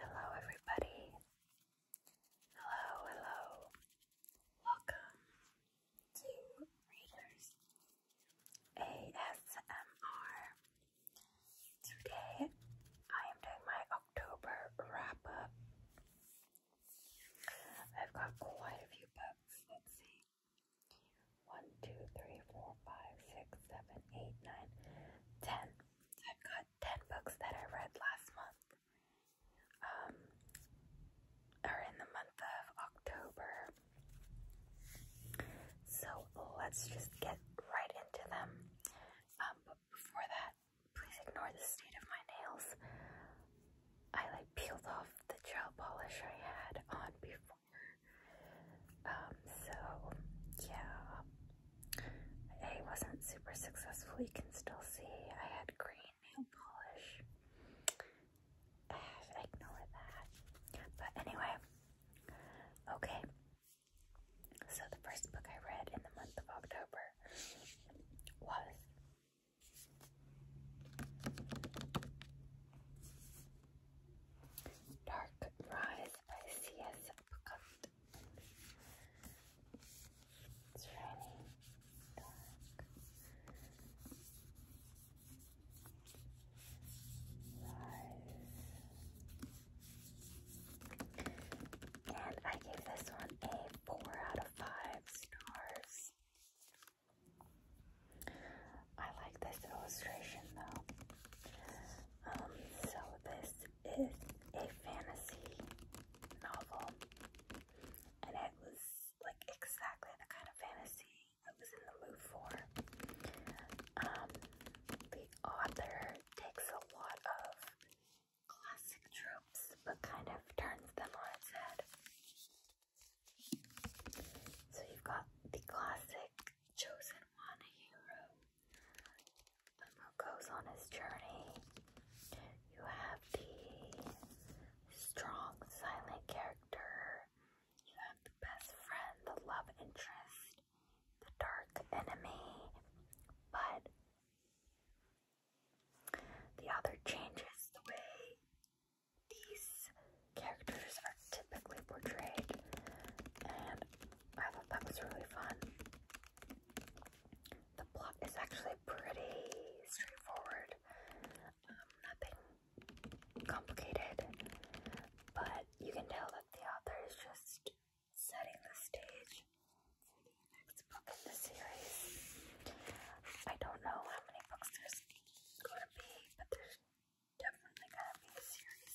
Hello, everybody. Hello, hello. Welcome to Readers ASMR. Today I am doing my October wrap up. I've got quite a few books. Let's see. 1, I've got 10 books that I read last month, um, or in the month of October. So let's just get right into them. Um, but before that, please ignore the state of my nails. I like peeled off the gel polish I had on before. Um, so yeah, it wasn't super successful. You can still see I had green nail polish. ignore that. But anyway, okay. So the first book I read in the month of October was Dark Rise by C.S. Picot. It's really dark. Nice. And I gave this one a four out of five stars. I like this illustration though. Um, so this is a fantasy novel, and it was like exactly the kind of fantasy I was in the mood for. Um, the author takes a lot of classic tropes but kind of turns them on its head. So you've got the classic chosen one hero goes on his journey. You have the strong, silent character. You have the best friend, the love interest, the dark enemy. But the other changes the way these characters are typically portrayed. And I thought that was really fun. The plot is actually pretty straightforward, um, nothing complicated, but you can tell that the author is just setting the stage for the next book in the series. I don't know how many books there's going to be, but there's definitely going to be a series.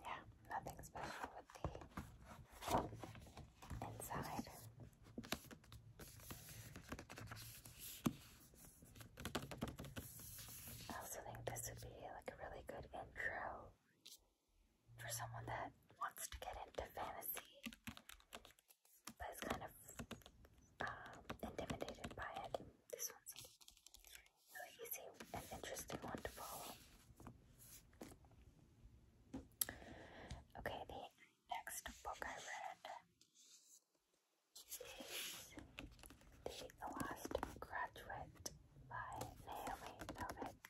yeah, nothing special with the inside. I also think this would be like a really good intro for someone that wants to get into fantasy but is kind of um, intimidated by it. This one's he seemed an interesting one to follow. Okay, the next book I read is The Last Graduate by Naomi Novik.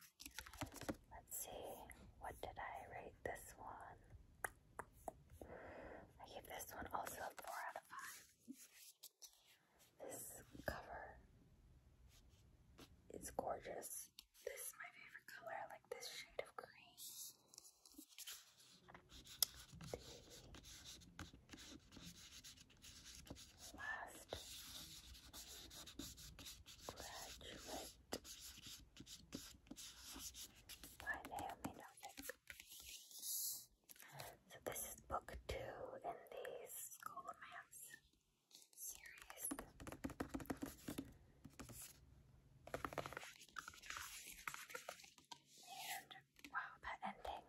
Let's see, what did I rate this one? I gave this one also 4 out of 5. This cover is gorgeous. This is my favorite color. I like this shade of green. last graduate by Naomi Novik. So this is book two in the School wow, that ending.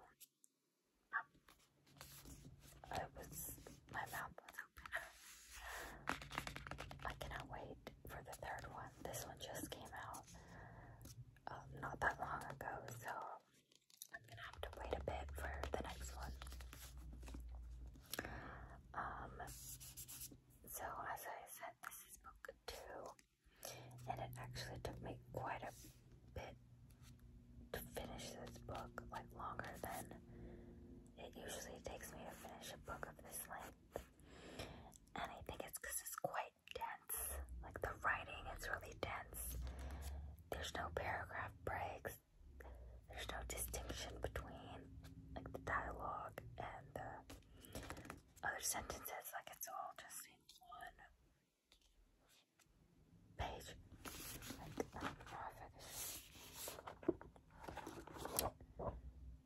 Oh, was my mouth was open. I cannot wait for the third one. This one just came out um, not that long ago, so I'm gonna have to wait a bit for the next one. Um, so as I said, this is book two, and it actually took me quite a bit to finish this book, like longer than it usually takes me to finish a book of this length. And I think it's it's quite dense. Like the writing is really dense. There's no paragraph breaks there's no distinction between like the dialogue and the other sentences. Like it's all just in one page.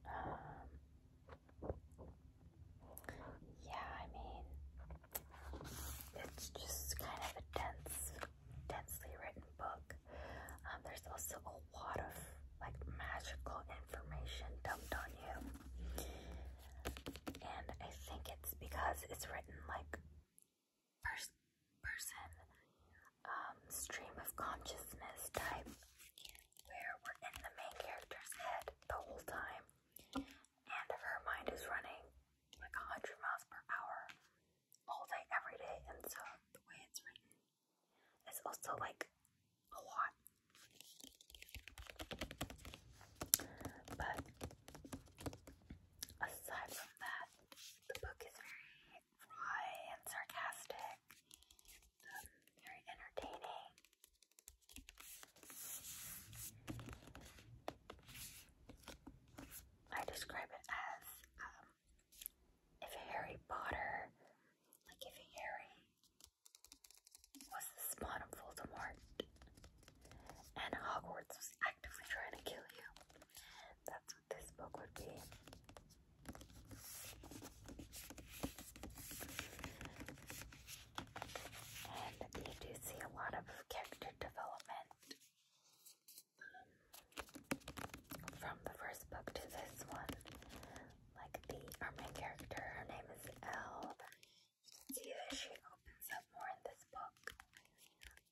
Um, yeah, I mean, it's just kind of dense densely written book. Um, there's also a lot of like magical information dumped on you, and I think it's because it's written like first person um, stream of consciousness type, where we're in the main character's head the whole time, and her mind is running like a hundred miles per hour all day, every day, and so the way it's written is also like a lot. But aside from that, the book is very dry and sarcastic, very entertaining. I describe it as um, if Harry Potter, like if Harry was the spawn Voldemort and Hogwarts was actively trying to kill you, that's what this book would be. And you do see a lot of character development from the first book to this one. Like the our main character, her name is Elle. See that she opens up more in this book.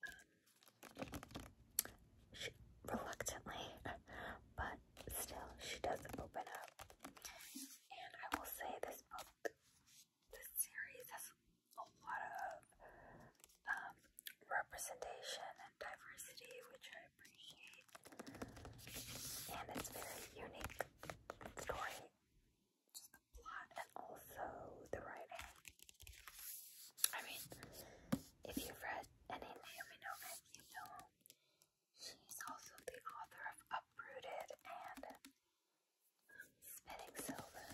Um, she reluctantly, but still she does open up. And I will say this book, this series has a lot of um, representation and diversity, which I appreciate. And it's very unique story, just the plot and also the writing. I mean, if you've read any Naomi Novik, you know she's also the author of Uprooted and Spinning Silver.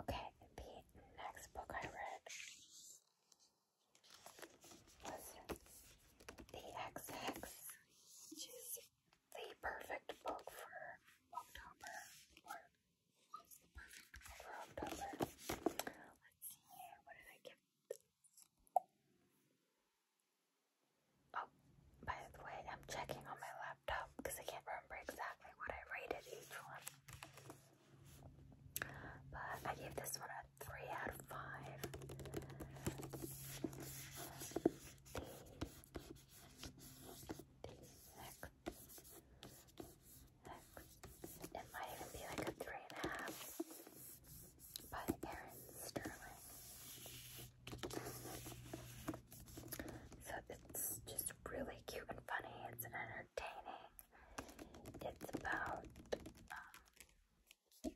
Okay, the next book I read was The XX, which is the perfect book for October, or the perfect book for October. Let's see, what did I give? Oh, by the way, I'm checking on my laptop because I can't remember exactly what I rated each one. But I gave this one a 3 out of 5. It might even be like a 3.5 by Erin Sterling. So it's just really cute and funny. It's entertaining. It's about um,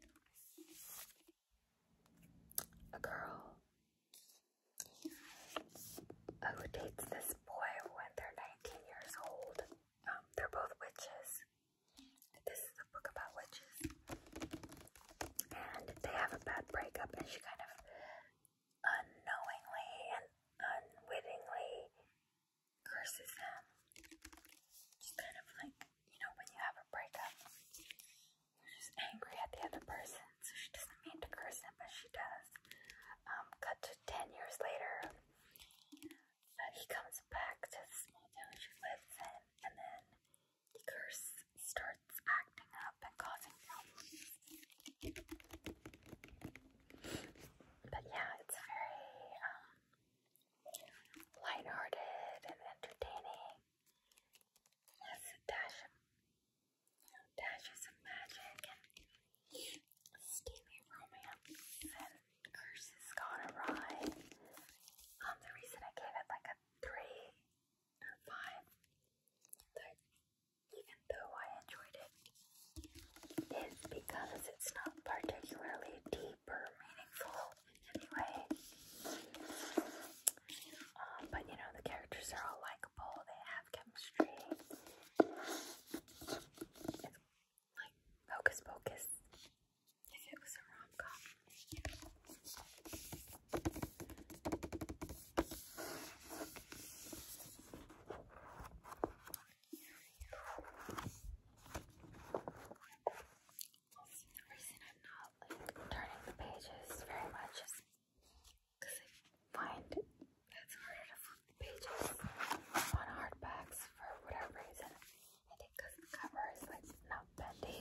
a girl who dates this boy when they're 19 years old. Um, they're both witches. This is a book about witches and they have a bad breakup, and she kind of unknowingly and unwittingly curses him. Just kind of like, you know, when you have a breakup, you're just angry at the other person, so she doesn't mean to curse him, but she does. Um, cut to 10 years later, uh, he comes back to the small town she lives in, and then the curse starts acting up and causing problems. But yeah, it's very um, lighthearted and entertaining. It dashes of magic and steamy romance and curses gone awry. Um, the reason I gave it like a three five. even though I enjoyed it, is because it's not particularly deep or meaningful anyway. Um, but you know, the characters are all likable, they have chemistry. like Hocus Pocus if it was a rom The reason I'm not like turning the pages very much is because I find it's harder to flip the pages on hardbacks for whatever reason. I the cover is like not bendy.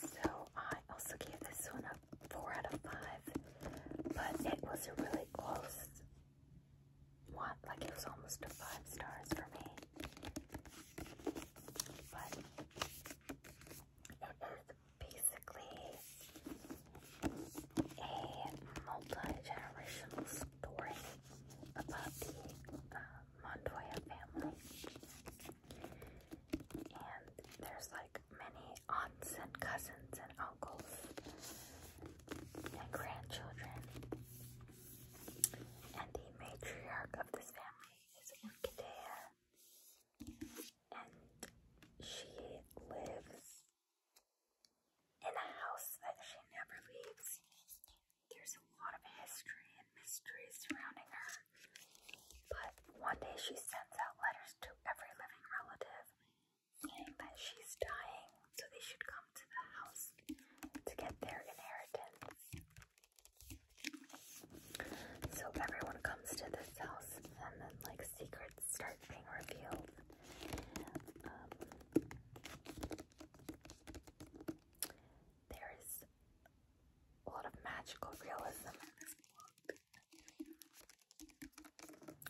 So I also gave this one a 4 out of 5, but it was a really close one. Like it was almost a 5 stars for me. But it is basically a multi-generational story about the Montoya family. And there's like many aunts and cousins and uncles and grandchildren. And the matriarch of this family is Orchidea. And she lives in a house that she never leaves. There's a lot of history and mystery surrounding her. But one day she sends out letters to every living relative saying that she's dying, so they should come to the house to get their inheritance. So everyone comes to this house, and then like secrets start being revealed. Um, there is a lot of magical realism in this book.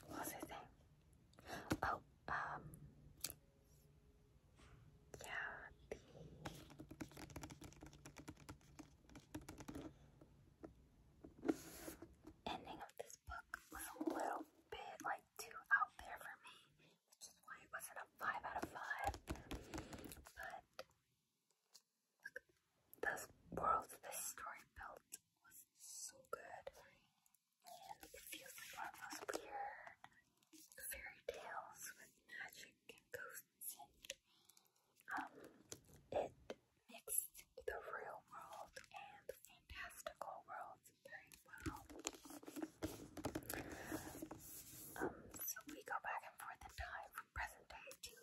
What was I saying? Oh, um, yeah, the ending of this book was a little bit like too out there for me which is why it wasn't a 5 out of 5. But look, the world this story built was so good. And it feels like one of fairy tales with magic and ghosts um it mixed the real world and fantastical worlds very well. Um, so we go back and forth in time from present day to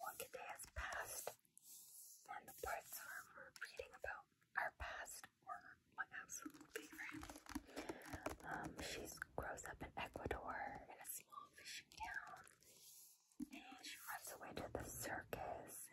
one day has passed, and the parts are we're reading about our past were my absolute favorite. Um, she grows up in Ecuador in a small fishing town, and she runs away to the circus.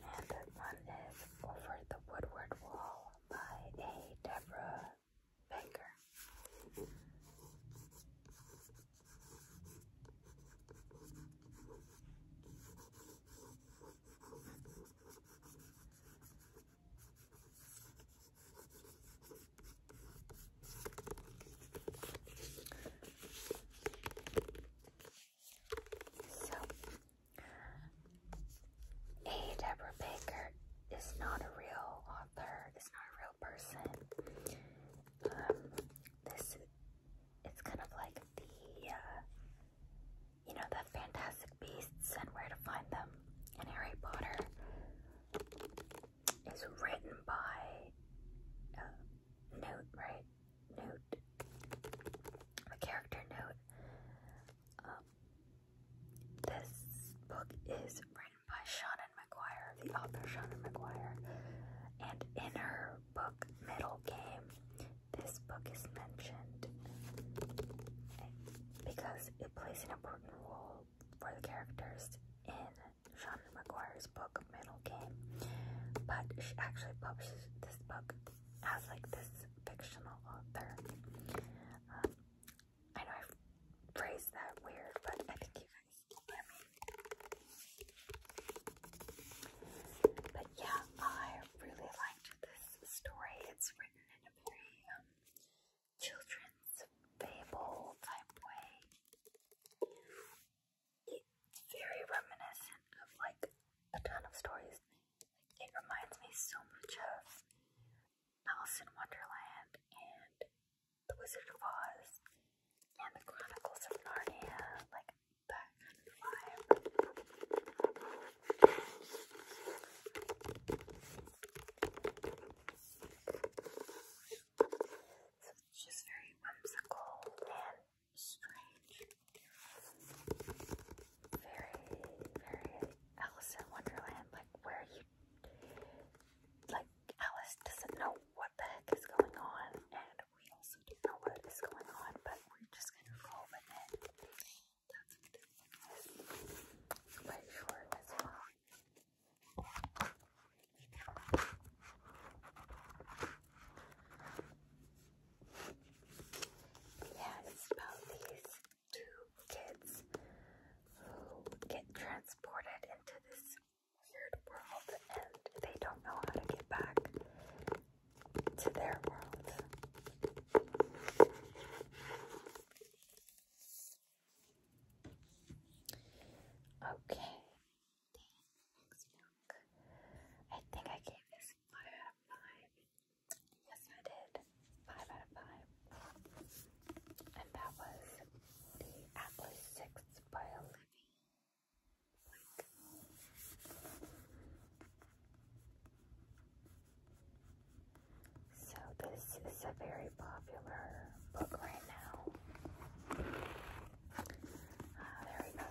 And that one is Over the Woodward Wall by A. Deborah Baker. So, A. Deborah Baker is not a real author, is not a real person. Um, this, it's kind of like the, uh, you know, the Fantastic Beasts and Where to Find Them and Harry Potter is written by uh, note, right? Note. A character note. Um, this book is written by Shannon McGuire, the author Shannon McGuire. And in her book, Middle Game, this book is mentioned because it plays an important role for the characters in Shannon McGuire's book, Middle Game. But she actually publishes this book as like this fictional author. Um, I know I phrased that weird, but I think you guys can me. But yeah, I really liked this story. It's written in a very um, children's fable type way it's very reminiscent of like a ton of stories. it reminds me so much of Alice in Wonderland and The Wizard of Oz and The Chronicles of Narnia, like that So it's just very whimsical and strange. Very, very Alice in Wonderland. Like where you, like Alice doesn't know what the heck is going on, and we also don't know what is going on, but we're just gonna roll with it. Quite short as well. Yeah, it's about these two kids who get transported into this weird world and they don't know how to get back to their world. Okay, I think I gave this Five out of five. Yes, I did. Five out of five. And that was the Atlas 6 by Olivia. so this is a very popular book right now there we go.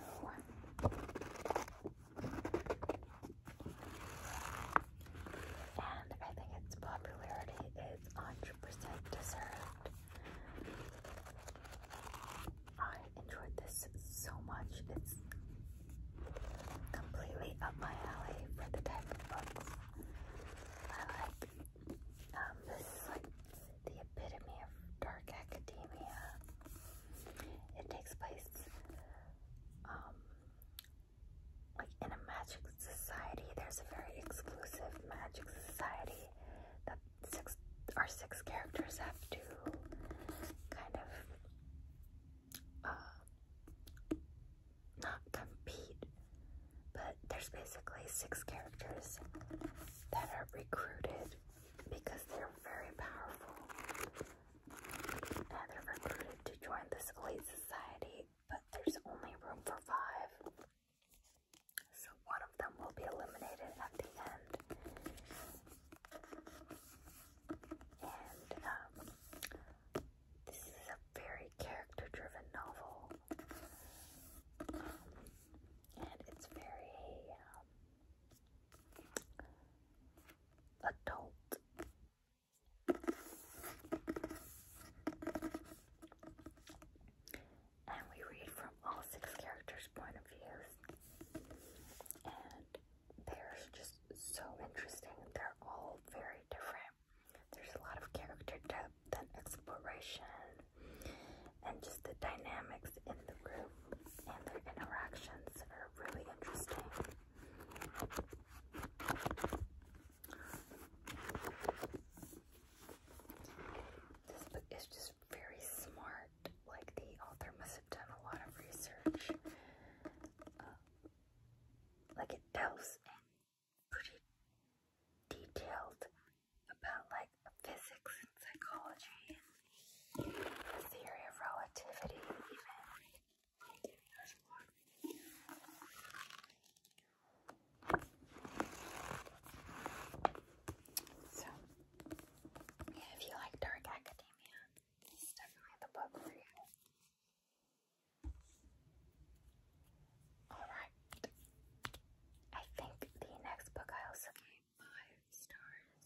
And I think its popularity is 100% deserved. I enjoyed this so much. It's completely up my alley for the type of books I like. Um, this is like the epitome of dark academia. It takes place um, like in a magic society. There's a very exclusive magic society that six our six characters have to kind of uh, not compete, but there's basically six characters that are recruited because they're very powerful. And they're recruited to join this elite society, but there's only room for five. So one of them will be eliminated at the end. And um, this is a very character driven novel. Um, and it's very. Um, adult and we read from all six characters' point of views and they're just so interesting. They're all very different. There's a lot of character depth and exploration and just the dynamics in the room and their interactions are really interesting. This book is just very smart. Like the author must have done a lot of research. Uh, like it tells in pretty detailed about like physics and psychology and the theory of relativity, even. So, if you like dark academia, this is definitely the book for you. Alright. I think the next book I also gave five stars.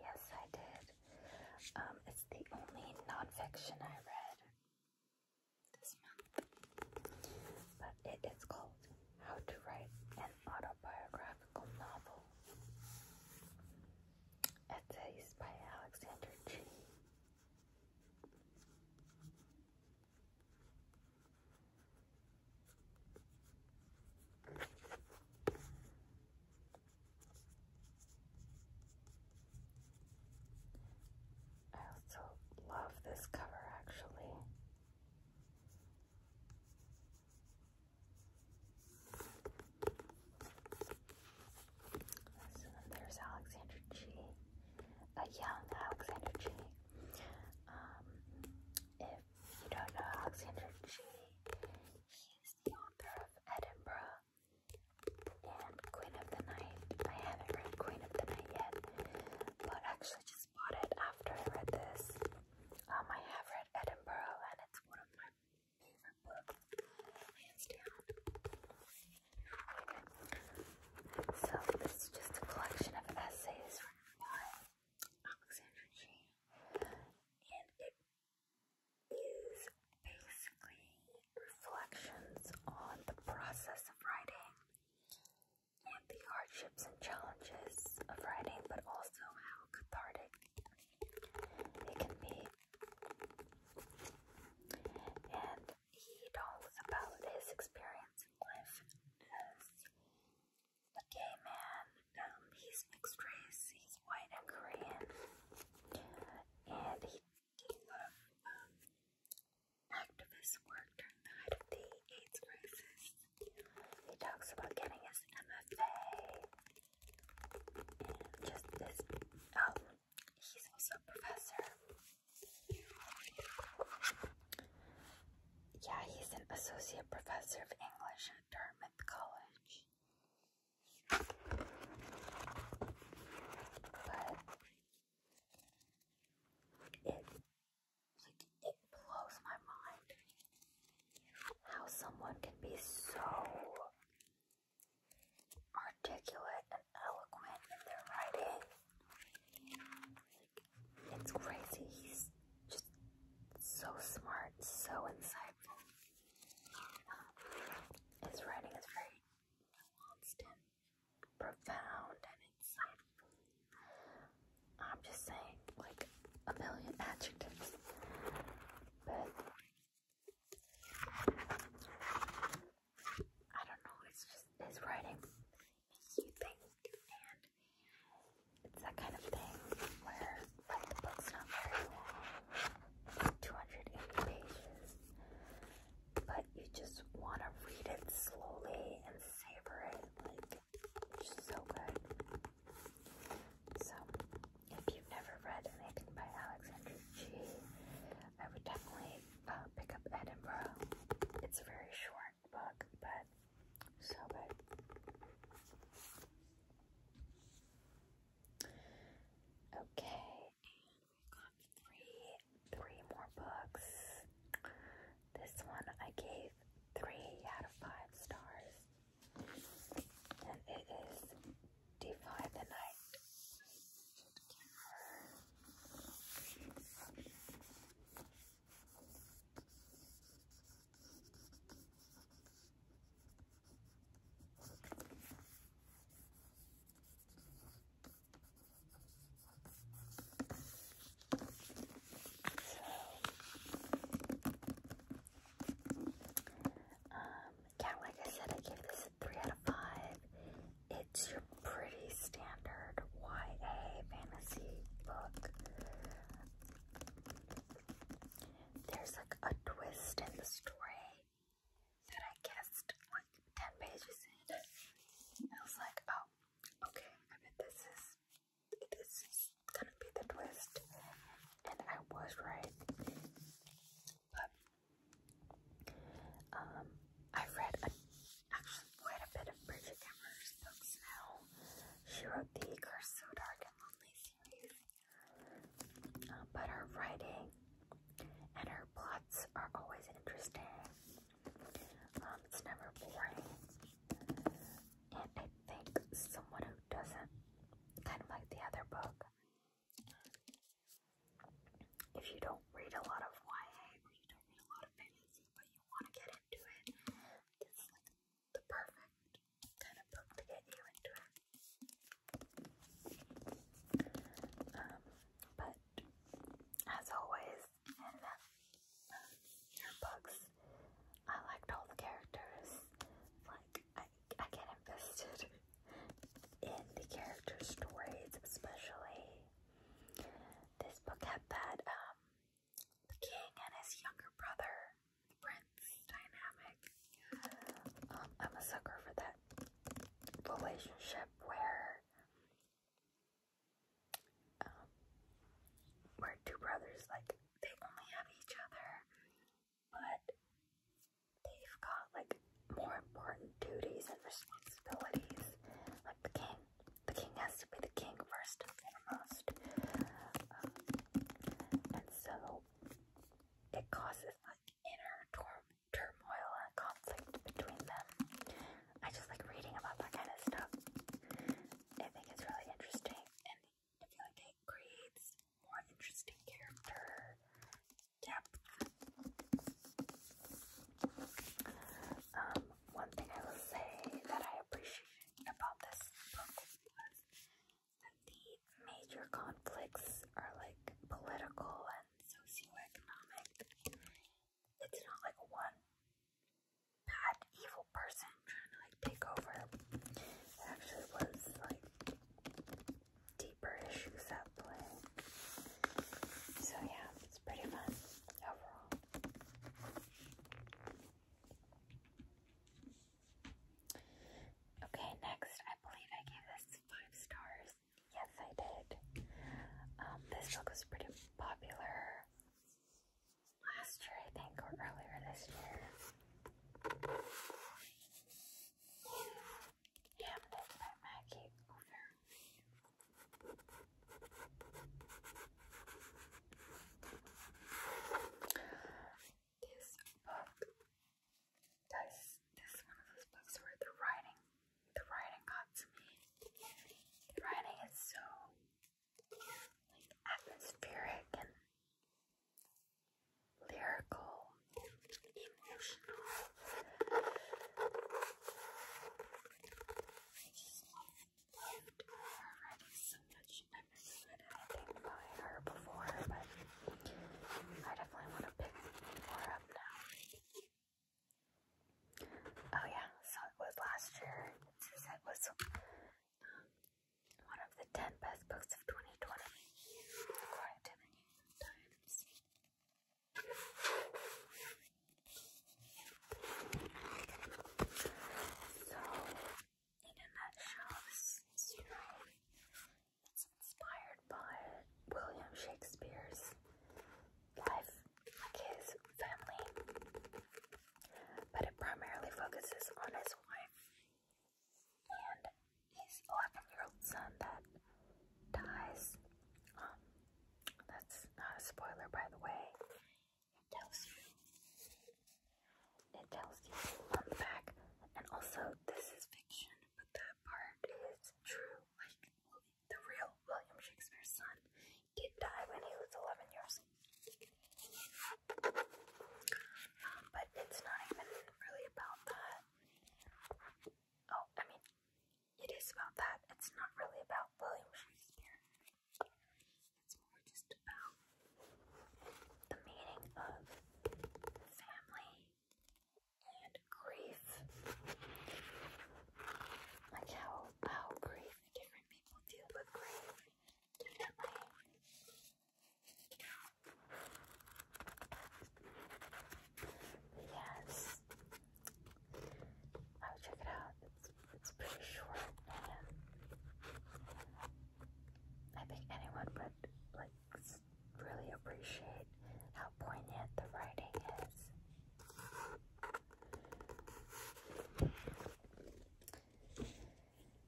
Yes, I did. Um, it's the only nonfiction I read this month, but it is called How to Write an Autobiographical Novel. Essays by Alexander G. I also love this cover actually. So then there's Alexander G, a young Alexander G. Um, if you don't know Alexander G. He's the author of Edinburgh and Queen of the Night. I haven't read Queen of the Night yet, but actually just bought it after I read this. Um, I have read Edinburgh and it's one of my favorite books, hands down. So this is just a collection of essays Alexandra Jane, and it is basically reflections on the process of writing and the hardships and challenges of writing, but also how cathartic it can be. And he talks about his experience in life the man, um, he's mixed race, he's white and Korean, and he did um, activist work during the the AIDS crisis. He talks about getting his MFA and just this. Um, he's also a professor. Yeah, he's an associate professor of English at Dartmouth College. But it like it blows my mind how someone can be so articulate and eloquent in their writing. It's crazy. He's just so smart, so insightful. Um, his writing is very nuanced and profound and insightful. I'm just saying, like, a million adjectives. But I don't know, it's just his writing it's that kind of thing where like the book's not very long, 280 pages, but you just want to read it slowly and savor it, like so good. So, if you've never read anything by Alexander G, I would definitely uh, pick up Edinburgh. It's very short book, but so good. Okay, we got three, three more books. This one I gave three out of five stars, and it is Defy the Night. Um, yeah, like I said, I gave this a 3 out of 5. It's your pretty standard YA fantasy book. There's like a twist in the story that I guessed like 10 pages in. I was like, oh, okay, I bet this is, this is gonna be the twist. And I was right. But, um, I've read actually quite a bit of Bridget Cameron's books now. She wrote the Curse So Dark and Lonely series, uh, but her writing and her plots are always interesting. Um, it's never boring, and I think someone who doesn't kind of like the other book. If you don't read a lot of YA or you don't read a lot of fantasy, but you want to get into it, the perfect kind of book to get you into it. Um, but as always, in um, her uh, books, I liked all the characters. Like I, I get invested in the character stories, especially. This book had that um, the king and his younger brother, the prince dynamic. Um, I'm a sucker for that relationship where um, where two brothers like they only have each other, but they've got like more important duties and responsibilities. Like the king the king has to be the king first and foremost. Um, and so it causes like inner turmoil and conflict between them. I just like reading about that kind of stuff. I think it's really interesting and I feel like it creates more interesting character depth. Um, one thing I will say that I appreciate about this book was that the major conflicts are like political and socioeconomic. It's not like one bad evil person trying to like take over. It actually was like deeper issues at play. So yeah, it's pretty fun overall. Okay, next, I believe I gave this five stars. Yes, I did. Um, this book was pretty popular last year, I think, or earlier this year. Hamlet by Maggie this book does this one of those books where the writing the writing got to me. The writing is so like atmospheric and lyrical, and emotional already so much. I've never read anything by her before, but I definitely want to pick more up now. Oh yeah, so it was last year. It was um, one of the 10 best books of 2020. Quite a many times. So, and that shows this it's inspired by William Shakespeare's life, like his family, but it primarily focuses on his wife and his 11 year old son that dies. Um, that's not a spoiler, by the way. It tells you. It tells you one fact, and also this is fiction, but that part is true. Like the real William Shakespeare's son did die when he was 11 years old. Um, but it's not even really about that. Oh, I mean, it is about that. It's not really about William Shakespeare. It's more just about the meaning of family and grief. Like how how grief different people deal with grief Yes. I would check it out. It's pretty short, and I think anyone would like really appreciate how poignant the writing is.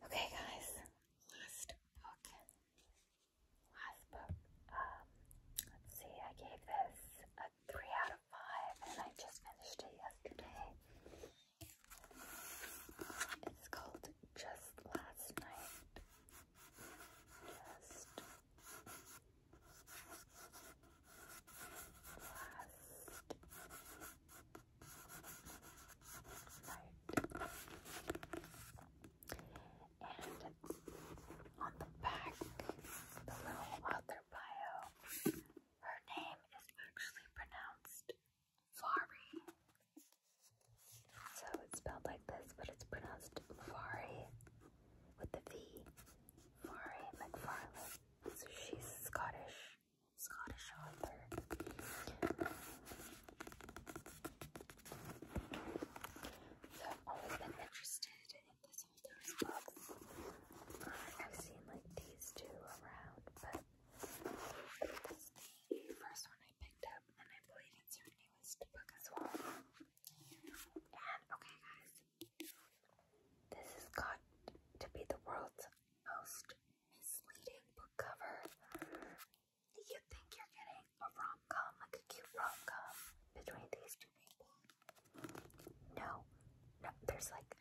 Okay, guys, last book. Last book. Um, let's see. I gave this a three out of five, and I just finished it yesterday. It's called Just Last Night. Just Last Night. And on the back, the little author bio, her name is actually pronounced Fari. So it's spelled like this, but it's pronounced Fari with the V. Fari McFarlane. So she's Scottish, Scottish author. So I've always been interested in this author's books. I've seen like these two around, but that's the first one I picked up, and I believe it's her newest book as well. And okay, guys, this has got to be the world's most misleading book cover. You think you're getting a rom com, like a cute rom com, between these two people? No, no, there's like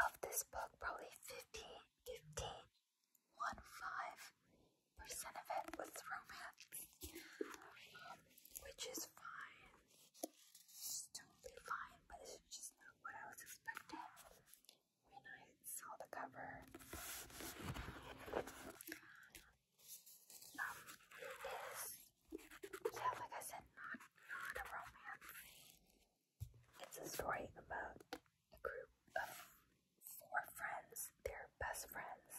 of this book, probably 15, 15, 1, 5 percent of it was romance, which is fine. totally fine, but it's just not what I was expecting when I saw the cover. Um, it is, yeah, like I said, not, not a romance. It's a story about a group of four friends, they're best friends,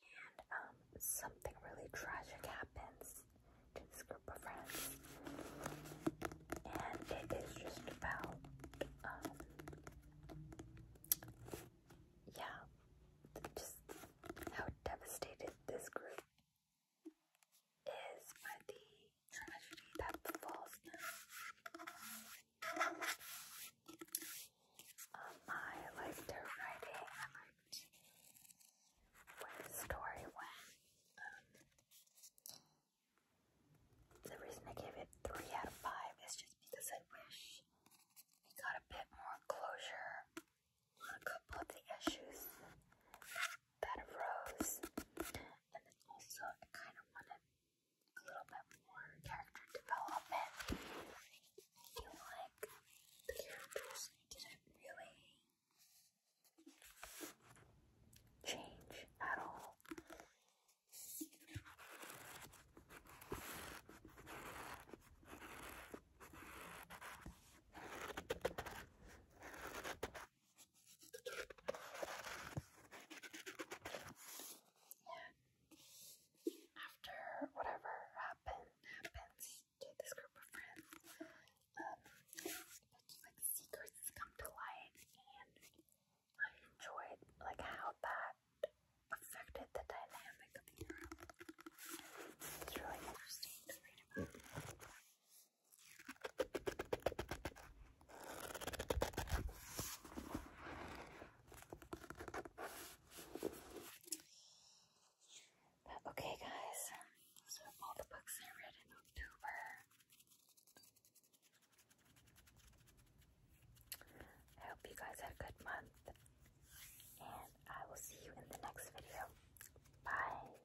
and um, something really tragic happens to this group of friends, and it is just about, um, yeah, just how devastated this group is by the tragedy that befalls um, I liked her writing. I liked the story went. Um, the reason I gave it three out of five is just because I wish it got a bit more closure on a couple of the issues that arose. And then also, I kind of wanted a little bit more character development. I feel like the characters didn't really change at all. After whatever happened happens to this group of friends, um, like secrets come to light, and I enjoyed like how that affected the dynamic of the group. It's really interesting to read about okay, guys, those are all the books I read in October. I hope you guys had a good month, and I will see you in the next video. Bye.